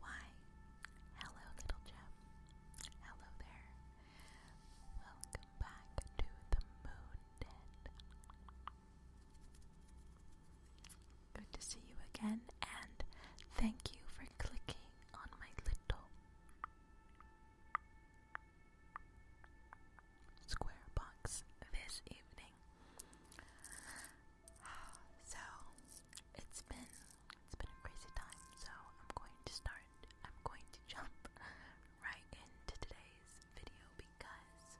Why? Hello, little gem. Hello there. Welcome back to the Moon Good to see you again, and thank you for clicking on my little square box this evening. So it's been it's been a crazy time. So I'm going to start. I'm going to jump right into today's video because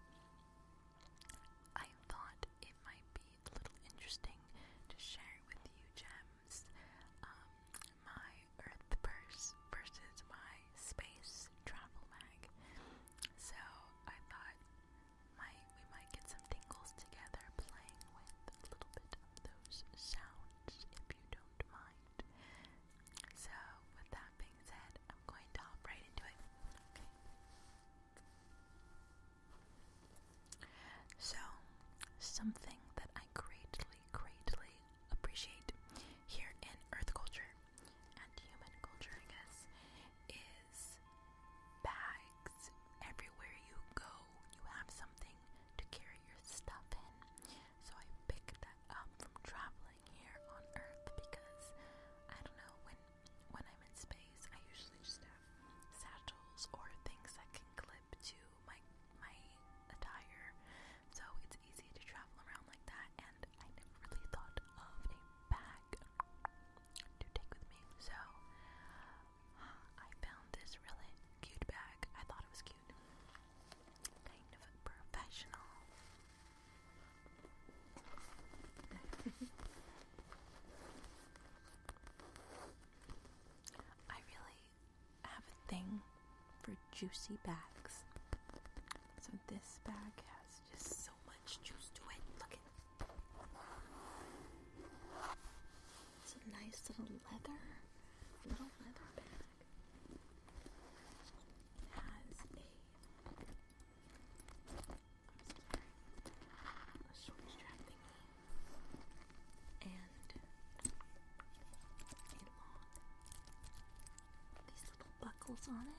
I thought it might be a little interesting to share with you gems. Um, my Earth purse versus my space travel mag. So I thought we might get some tingles together playing with a little bit of those sounds if you don't mind. So with that being said, I'm going to hop right into it. Okay. So something that I greatly, greatly appreciate here in Earth culture and human culture, I guess, is bags. Everywhere you go, you have something to carry your stuff in. So I picked that up from traveling here on Earth because I don't know when when I'm in space, I usually just have satchels or things that can clip to my my attire. So it's easy to travel around like that and I never really thought of a bag to take with me. So I found this really cute bag. I thought it was cute. Kind of professional. I really have a thing for juicy bags. So this bag has just so much juice to it. Look at it's a nice little leather, little leather bag. It has a short strap thingy and a long, these little buckles on it.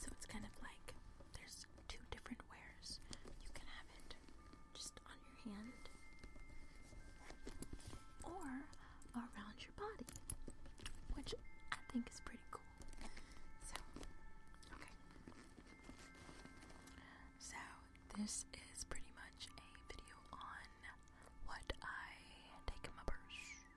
So it's kind of like there's two different wares. You can have it just on your hand or around your body, which I think is pretty cool. So, okay. So, this is pretty much a video on what I take in my purse.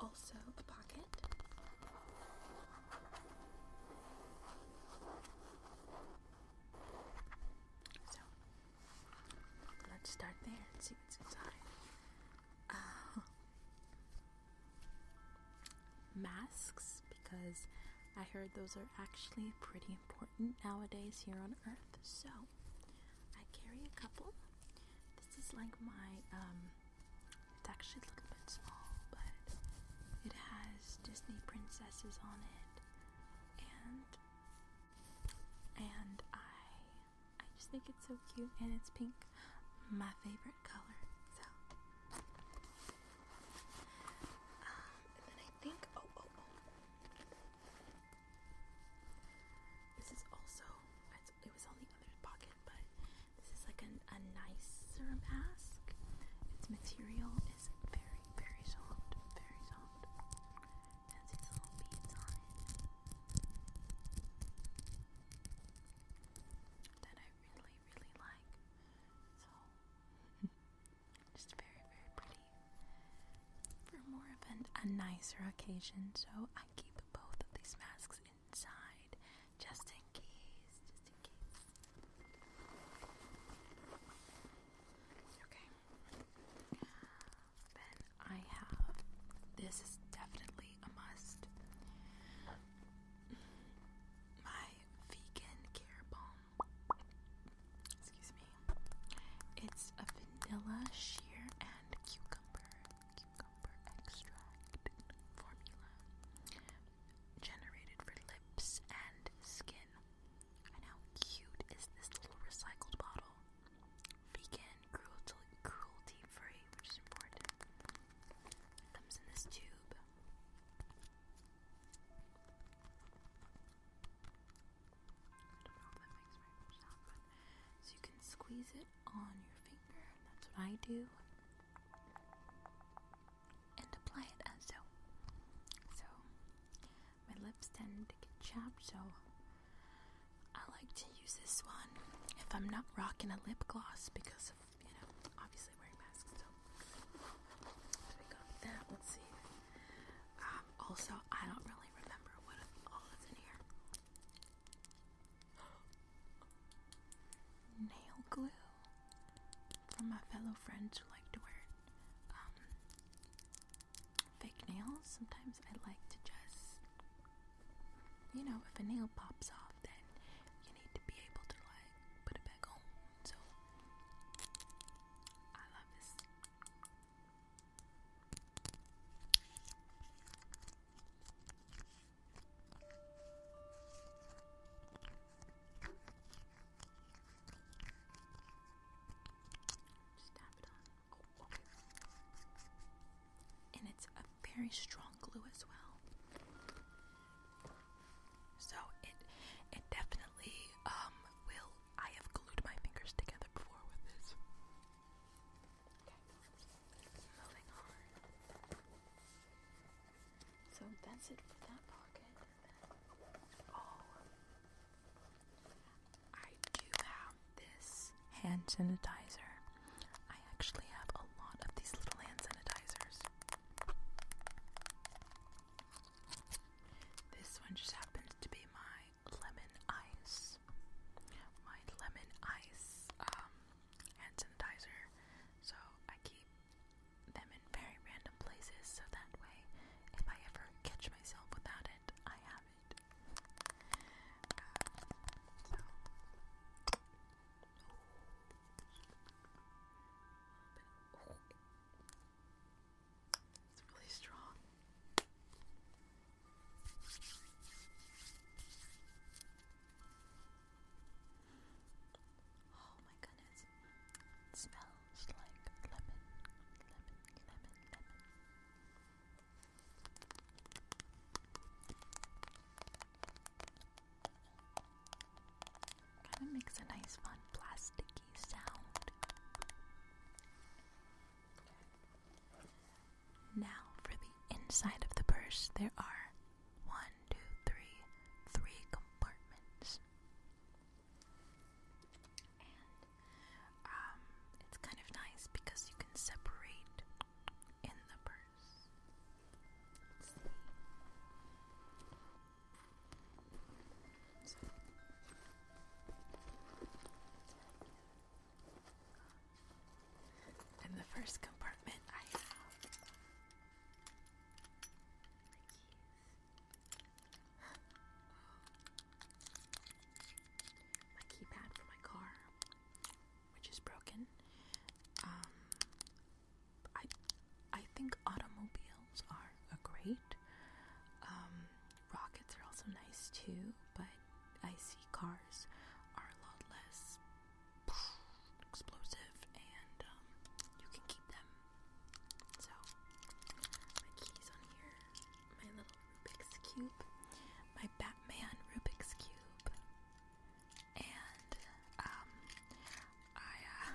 also a pocket. So let's start there and see what's inside. Uh, masks, because I heard those are actually pretty important nowadays here on Earth. So I carry a couple. This is like my um, it's actually a little bit small, but it has Disney princesses on it, and and I I just think it's so cute, and it's pink, my favorite color. So, um, and then I think oh oh oh, this is also it was on the other pocket, but this is like an, a nicer mask. Its material is very, very soft, very soft. Has these little beads on it that I really, really like. So just very, very pretty for more of an, a nicer occasion. So I keep both of these masks just in case, just in case. Okay. Then I have, this is definitely a must, my vegan care balm. Excuse me. It's a vanilla sheer and cucumber cucumber extract formula generated for lips and skin. And how cute is this little recycled bottle? Vegan, cruelty, free, which is important. comes in this tube. I don't know if that makes very sound, but so you can squeeze it on your finger, that's what I do and apply it as so. So my lips tend to get chapped, so I like to use this one if I'm not rocking a lip gloss because of you know obviously wearing masks. So, so Let's see. Um, also, I don't really remember what all is in here nail glue from my fellow friends who like to wear um, fake nails. Sometimes I like to just, you know, if a nail pops off, then you need to be able to like put it back on. So I love this. And it's a very strong glue as well. So it it definitely um will I have glued my fingers together before with this. So that's it for that pocket. Oh. I do have this hand sanitizer. I actually have a lot of these little hand sanitizers. This one just happens to be my lemon ice. My lemon ice um, hand sanitizer. So I keep them in very random places so that way if I ever catch myself without it, I have it. so. It's really strong. Oh my goodness. It smells like lemon, lemon, lemon, lemon. Kind of makes a nice, fun, plasticky sound. Now for the inside of the purse, there are one, two, three, three compartments. And um, it's kind of nice because you can separate in the purse. In the first compartment, I have my keys, my keypad for my car, which is broken. Um, I I think automobiles are a great. Um, rockets are also nice too, but I see cars are a lot less explosive, and um, you can keep them. So, my keys on here, my little Rubik's Cube, my Batman Rubik's Cube, and um, I, uh,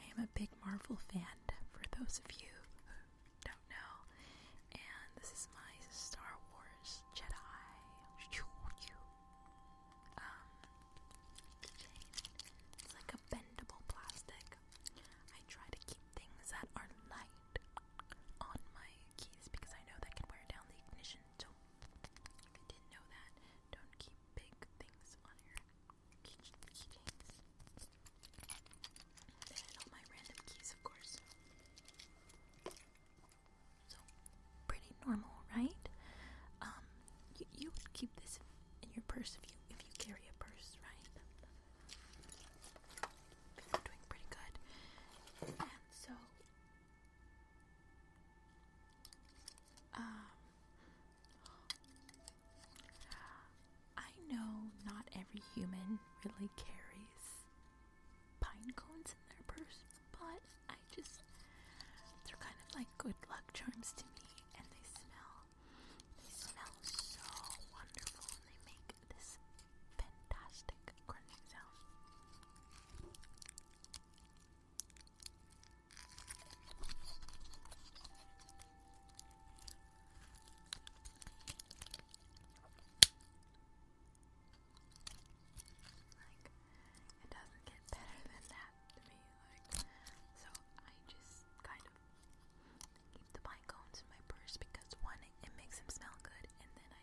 I am a big Marvel fan, for those of you who don't know, and this is my Star Wars Jedi um, chain. It's like a bendable plastic. I try to keep things that are light on my keys because I know that can wear down the ignition. So if you didn't know that, don't keep big things on your keychains. and all my random keys, of course. So, pretty normal, right? Um, you, would keep this in your purse if you if you carry a purse, right? You're doing pretty good. And so, um, I know not every human really carries pine cones in their purse, but I just, they're kind of like good luck charms to me, and they smell, they smell so wonderful, and they make this fantastic crunching sound it doesn't get better than that to me. so I just kind of keep the pine cones in my purse because one, it makes them smell good, and then I,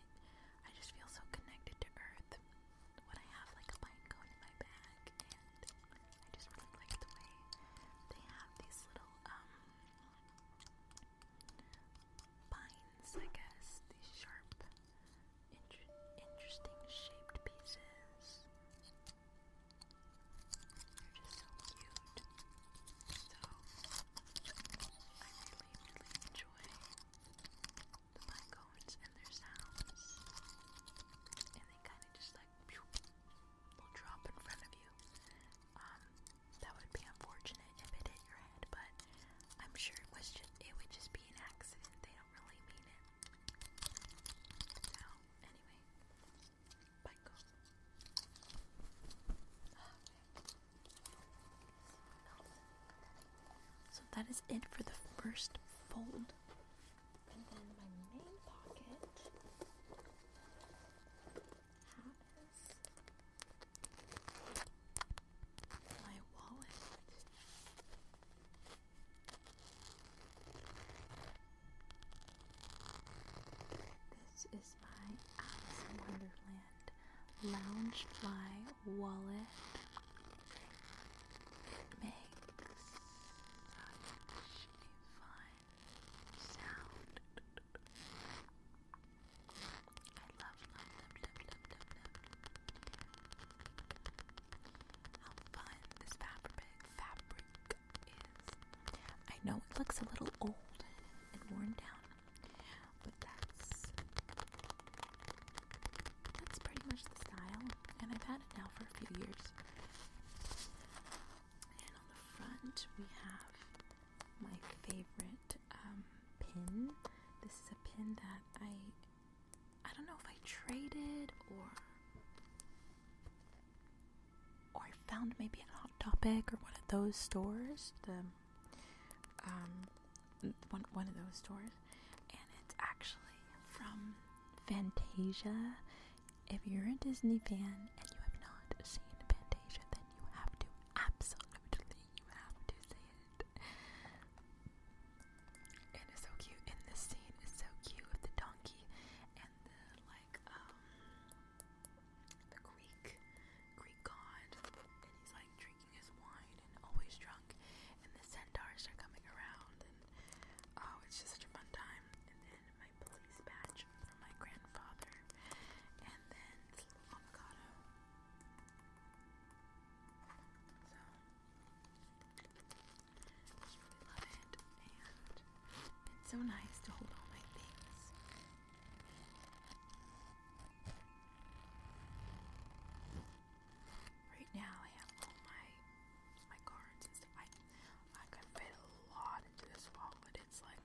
I just feel so connected to earth when I have like a pine cone in my bag, and I just really like the way they have these little um pines, I guess, these sharp interesting shaped pieces. They're just so cute. So I really, really enjoy the pycones and their sounds. And they kind of just like will drop in front of you. Um, that would be unfortunate if it hit your head, but I'm sure it was just it would just be an accident. They don't really mean it. So anyway, So that is it for the first fold. My wallet. This is my Alice in Wonderland Loungefly wallet. makes such a fun sound. I how fun this fabric fabric is. I know it looks a little old and worn down, but that's that's pretty much the style, and I've had it now for a few years. And on the front we have my favorite um, pin. This pin that I I don't know if I traded or or I found maybe at Hot Topic or one of those stores, the um one one of those stores, and it's actually from Fantasia. If you're a Disney fan and you have not seen Fantasia, then you have to absolutely you have to see it. And it's so cute. And the scene is so cute with the donkey and the like um the Greek Greek god and he's like drinking his wine and always drunk and the centaurs are coming around and oh it's just such a fun time and then my police badge from my grandfather and then avocado I really love it, and it's so nice to hold all my things. Right now, I have all my my cards and stuff. I I could fit a lot into this wallet. It's like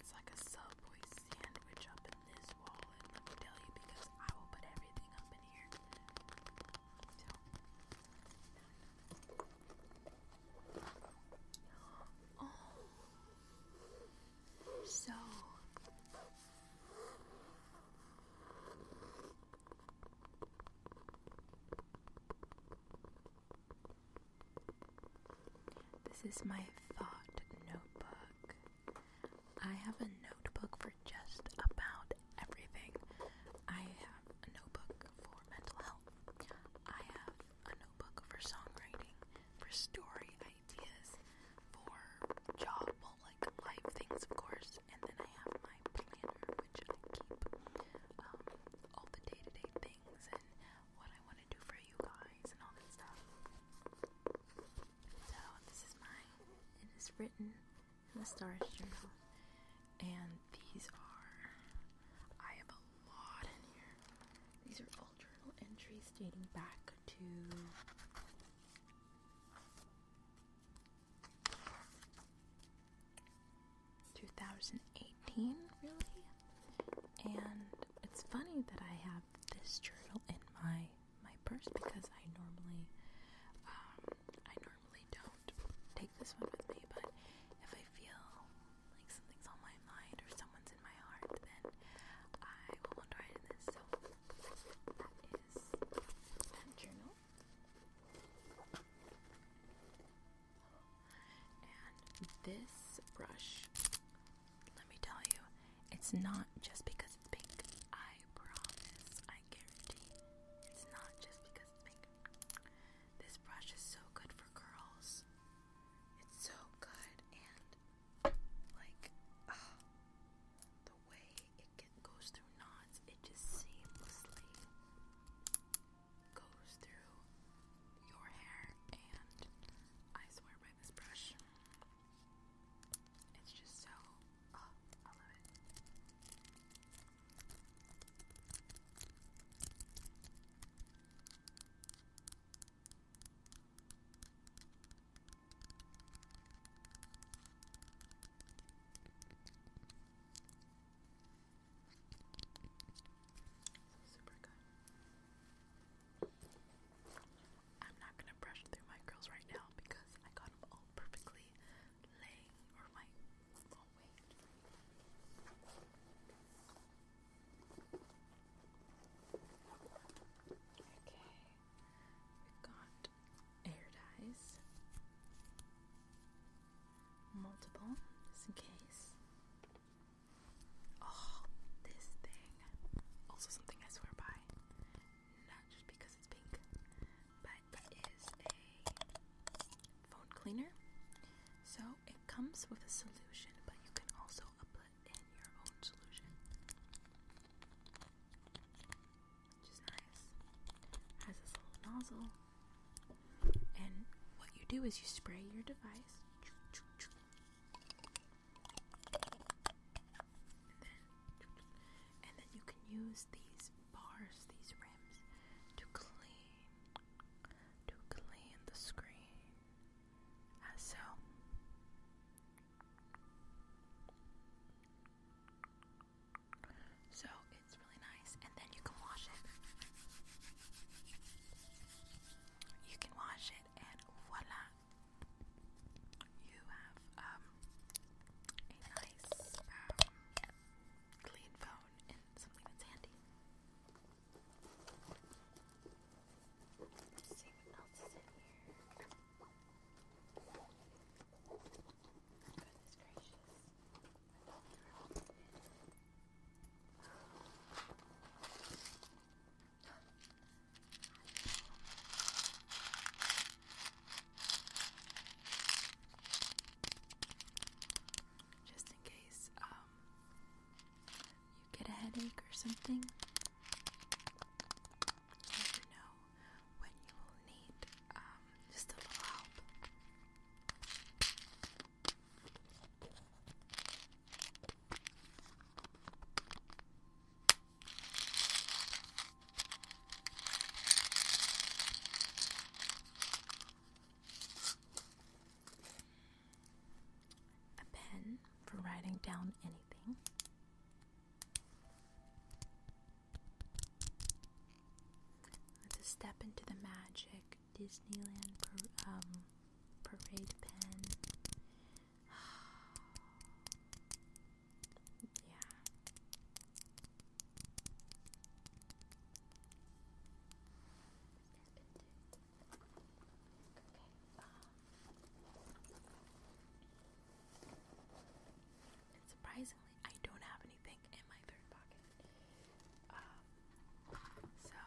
it's like a Subway sandwich up in this wall, let me tell you, because I will put everything up in here. so this is my thought notebook. I have a notebook for just about everything. I have a notebook for mental health. I have a notebook for songwriting, for story ideas, for job, like life things, of course. And then I have my planner, which I keep um, all the day to day things and what I want to do for you guys and all that stuff. So this is mine. It is written in the Stars Journal. And these are I have a lot in here. These are all journal entries dating back to Two thousand eighteen, really, and it's funny that I have this journal in my my purse because I normally um I normally don't take this one with me, but if I feel like something's on my mind or someone's in my heart, then I will want to write in this. So that is that journal. And this brush, let me tell you, it's not just because it's pink. I promise. I guarantee. It's not just because it's pink. This brush is so good for curls. It's so good and like the way it goes through knots, it just seamlessly goes through your hair and I swear this brush. It's just so, oh, I love it. super good. I'm not gonna brush through my curls right now because I got them all perfectly laying or my oh wait. Okay, we got air dyes, multiple, just in case. Oh, this thing also something I swear by, not just because it's pink, but it is a phone cleaner. So it comes with a solution, but you can also put in your own solution, which is nice. has this little nozzle, and what you do is you spray your device and then you can use these bars, these rims, to clean, to clean the screen, ah, so. So it's really nice, and then you can wash it. You can wash it, and voila, you have um, a nice, um, clean phone and something that's handy. Let's see what else is in here. Goodness gracious. Just in case um, you get a headache or something, never know when you will need um, just a little help. A pen for writing down anything. Let's step into the magic Disneyland um, parade pen yeah. Okay. Um, surprisingly, I don't have anything in my third pocket. Um, so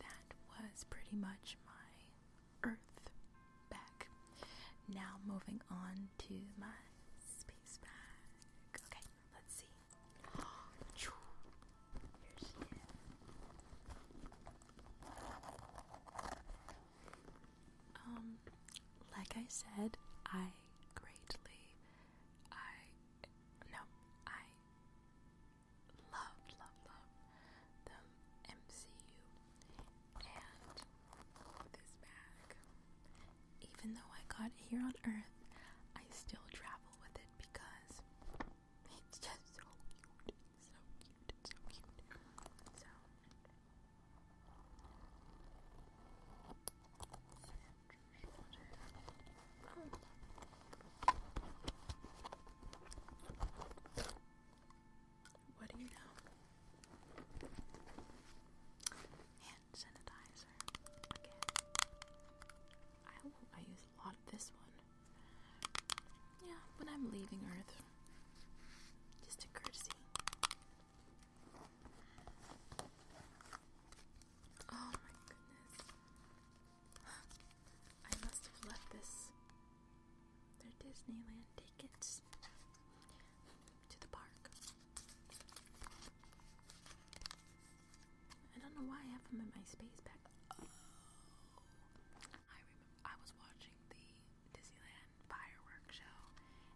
that was pretty much my Earth back. Now moving on to my space bag. Okay, let's see. Um, like I said, I greatly, I no, I Love, love, love the MCU and this bag. Even though I got here on Earth, I still travel with it because it's just so cute. so cute. so cute. So Oh. What do you know? Hand sanitizer. I use a lot of this one. Yeah, when I'm leaving Earth. Just a courtesy. Oh my goodness. I must have left this. Their Disneyland tickets to the park. I don't know why I have them in my space bag. Oh, I remember I was watching the Disneyland fireworks show,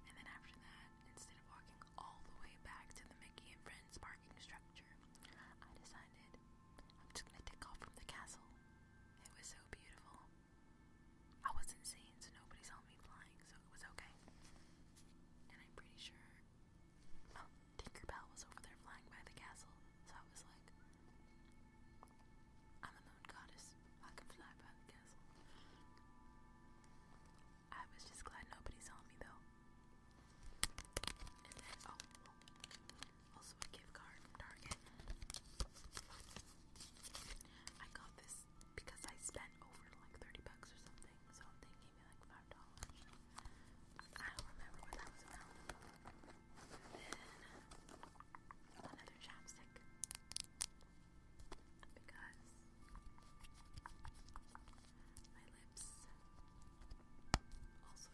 and then after that, instead of walking all the way back to the Mickey and Friends parking structure, I decided I'm just gonna take off from the castle it was so beautiful. I was insane, so nobody saw me flying, so it was okay. And I'm pretty sure. Oh, Tinkerbell was over there flying by the castle, so I was like, I'm a moon goddess. I can fly by the castle. I was just glad nobody saw me though. And then, oh, also a gift card from Target. I got this because I spent over like 30 bucks or something, so they gave me like $5. I don't remember what that was about. Then another chapstick. Because my lips also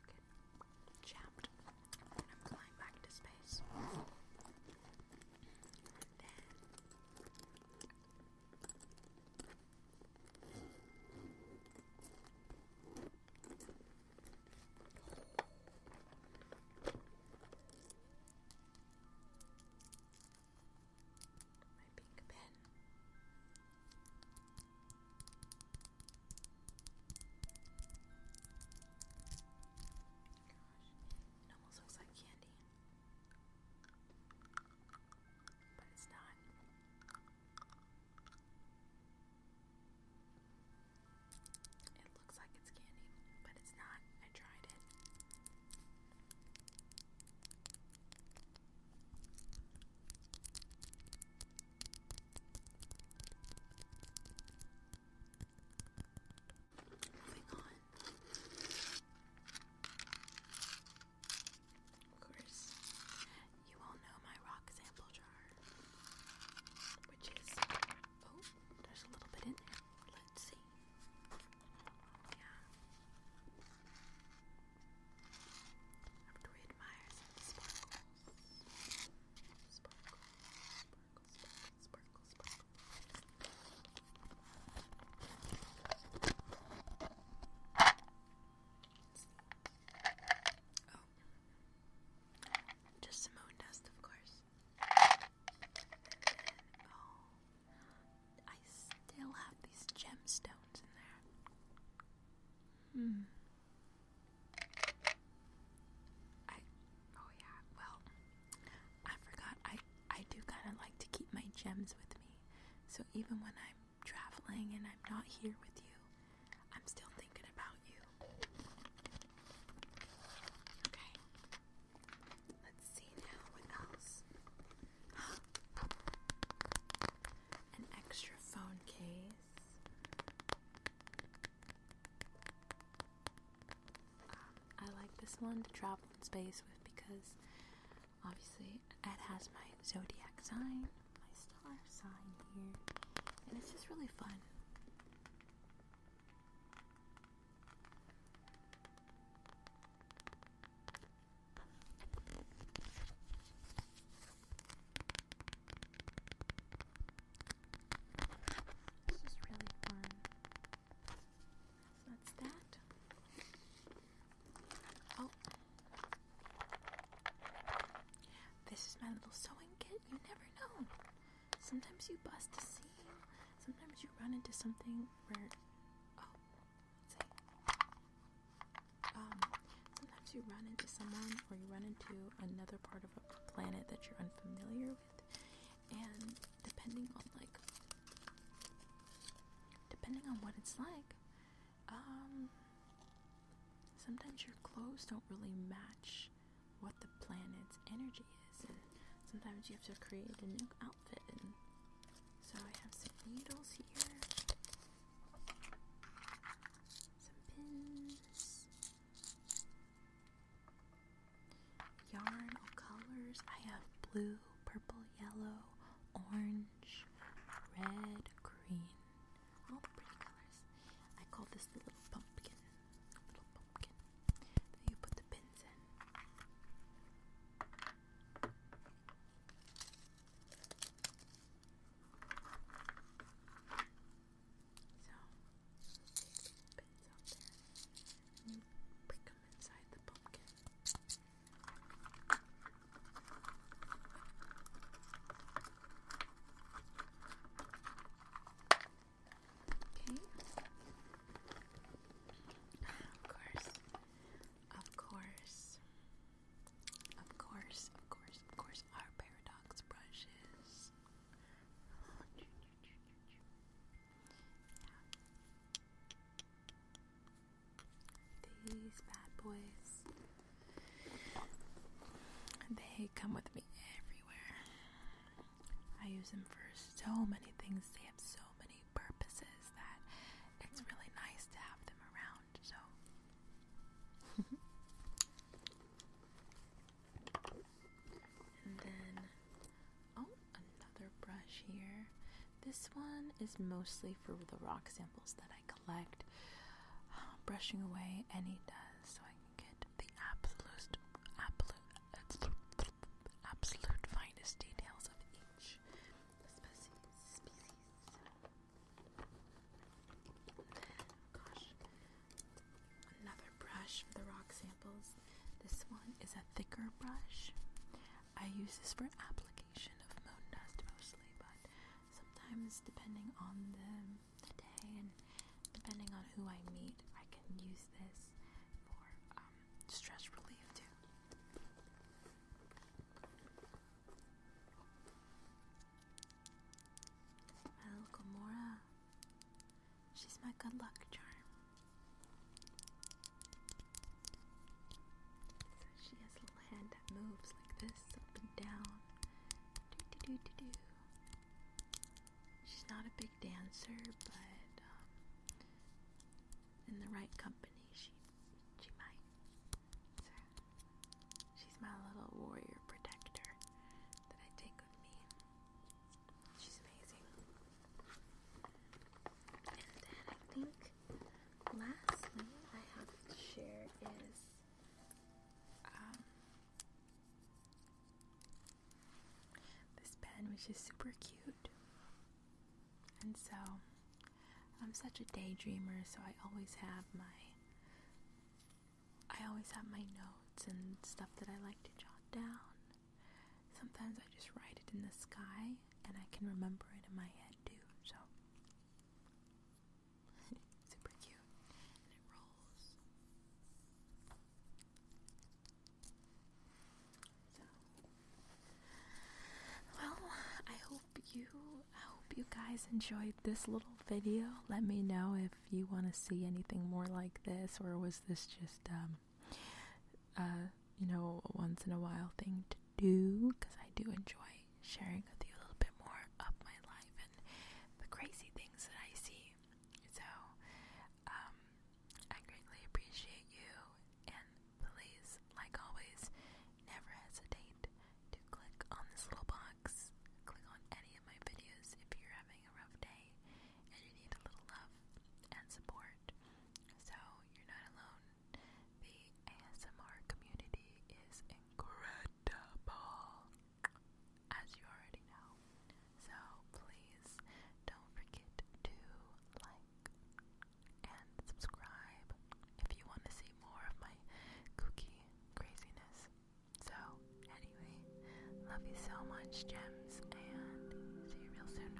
get Chopped, and I'm flying back to space. my pink pen. Gosh, it almost looks like candy, but it's not. It looks like it's candy, but it's not. I tried it. Moving on. Of course, you all know my rock sample jar, which is oh, there's a little bit in there. Let's see. Yeah. I really admire some sparkle. Sparkle, sparkle, sparkle, sparkle, sparkle. Oh. Just some moon dust, of course. And, oh. I still have these gemstones in there. Hmm oh yeah, well I forgot I I do kind of like to keep my gems with me. So even when I'm traveling and I'm not here with you, I'm still thinking about you. Okay. Let's see now what else. An extra phone case. Um, I like this one to travel in space with because obviously it has my zodiac sign, my star sign here, and it's just really fun. This is really fun. So that's that. Oh. This is my little sewing kit. You never know. Sometimes you bust a seam. Sometimes you run into something where. Oh, let's see. Um, Sometimes you run into someone or you run into another part of a planet that you're unfamiliar with, and depending on like depending on what it's like, um sometimes your clothes don't really match what the planet's energy is and sometimes you have to create a new outfit so I have some needles here some pins Yarn all colors. I have blue, purple, yellow, orange, red, green. All the pretty colors. I call this the little pumpkin. Little pumpkin you put the pins in. So, take some out there and prick them inside the pumpkin. Okay. Of course. Of course. Of course, of course, of course, our paradox brushes these bad boys, they come with me everywhere. I use them for so many things, they have so many purposes that it's really nice to have them around. So, And then, oh, another brush here. This one is mostly for the rock samples that I collect, brushing away any dust so I can get the absolute, absolute, absolute finest details of each species. Another brush for the rock samples. This one is a thicker brush. I use this for application of moon dust mostly, but sometimes depending on the, day and depending on who I meet, I can use this for um, stress relief too. My little Gamora. She's my good luck charm. So she has a little hand that moves like this, up and down. She's not a big dancer, but um, in the right company, she she might. She's my little warrior protector that I take with me. She's amazing. And then I think lastly I have to share is um, this pen which is super cute. And so I'm such a daydreamer so I always have my I always have my notes and stuff that I like to jot down. Sometimes I just write it in the sky and I can remember it in my head too, so super cute. And it rolls. So well, I hope you I hope you guys enjoyed this little video. Let me know if you want to see anything more like this, or was this just, um, you know, a once in a while thing to do? Because I do enjoy sharing with you a little bit more of my life and the crazy things that I see. So, um, I greatly appreciate you, and please, like always, never hesitate to click on this little box. Click on any of my videos if you're having a rough day and you need a little love and support. So you're not alone. The ASMR community is incredible, as you already know. So please don't forget to like and subscribe if you want to see more of my kooky craziness. So, anyway, love you so much, gems, and see you real soon.